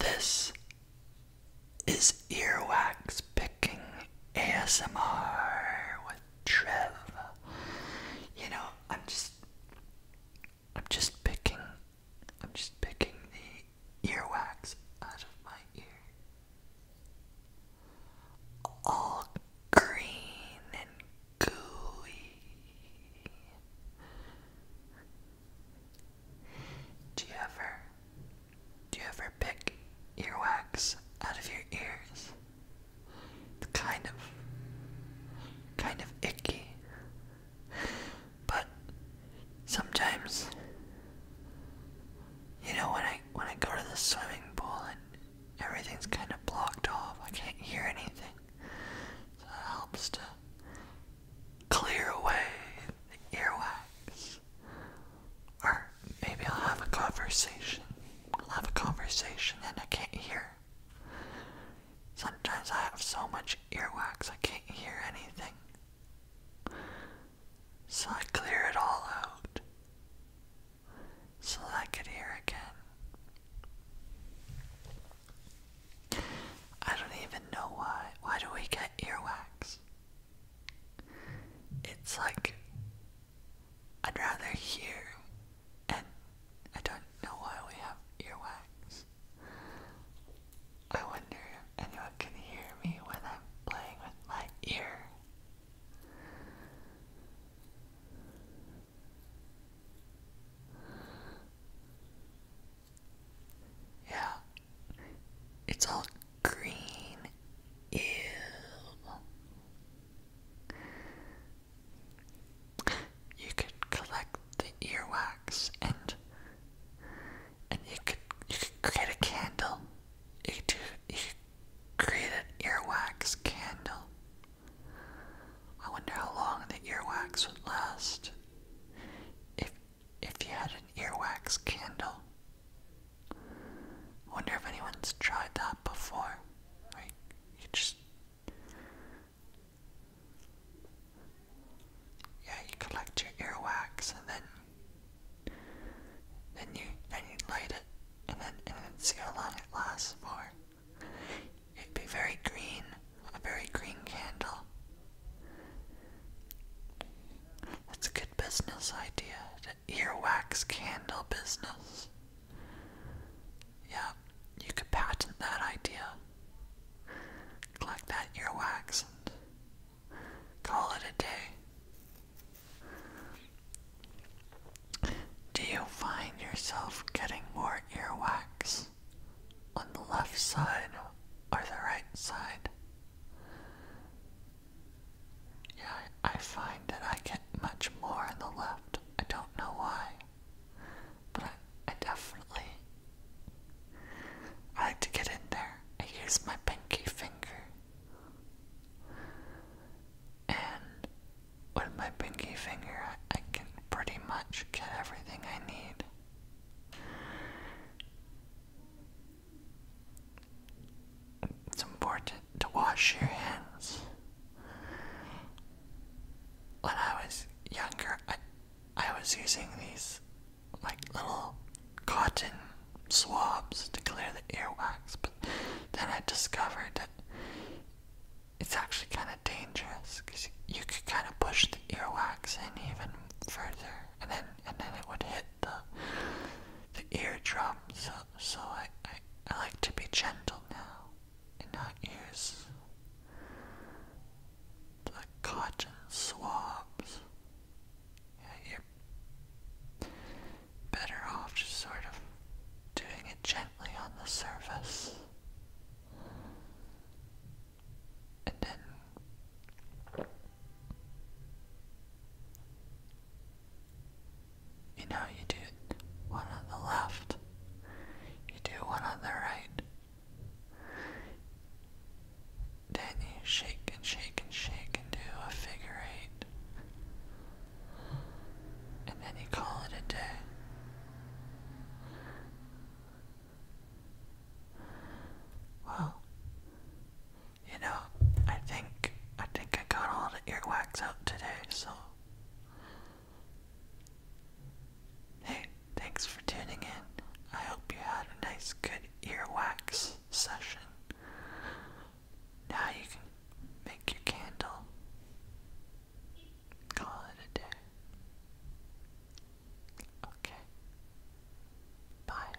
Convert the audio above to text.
This is Earwax Picking ASMR with Trev. You know, I'm just I'm just picking I'm just picking the earwax out of my ear. All green and gooey do you ever do you ever pick earwax out of your ears? It's kind of kind of icky. But sometimes you know when I when I go to the swimming pool and everything's kind of blocked off, I can't hear anything. So it helps to clear away earwax. Or maybe I'll have a conversation. have a conversation and I can't hear. Sometimes I have so much earwax I can't hear anything. So I clear it all out so I could hear again. I don't even know why. Why do we get earwax? It's like I'd rather hear, and I don't know why we have earwax. I wonder if anyone can hear me when I'm playing with my ear. Yeah, it's all green. Ew. You could collect the earwax and and you could you could create a candle you create an earwax candle. I wonder how long the earwax would last if if you had an earwax candle. I wonder if anyone's tried that before. you just yeah, you collect your earwax and then then you then you light it and then and then see how long it lasts for. It'd be very green, a very green candle. That's a good business idea. The earwax candle business. Yeah, you could patent that idea. Collect that earwax and Call it a day. Do you find yourself getting more earwax on the left side or the right side? Yeah, I find that I get much more on the left. I don't know why, but I, I definitely I like to get in there. I use my pinky finger. And with my pinky finger, I can pretty much get everything I need. It's important to wash your hands. When I was younger, I I was using these like little cotton swabs to clear the earwax, but then I discovered that it's actually kind of dangerous because you could kind of push the earwax in even further, and then and then it would hit the the eardrum. So so I I, I like to be gentle now in her ears like cotton swabs. Yeah, you're better off just sort of doing it gently on the surface. And then you know, you do one on the left, you do one on the right. Then you shake and shake and shake and do a figure eight. And then you call it a day. Well, you know, I think I think I got all the earwax out today, so Hey, thanks for tuning in. I hope you had a nice, good earwax session. Now you can make your candle. Call it a day. Okay. Bye.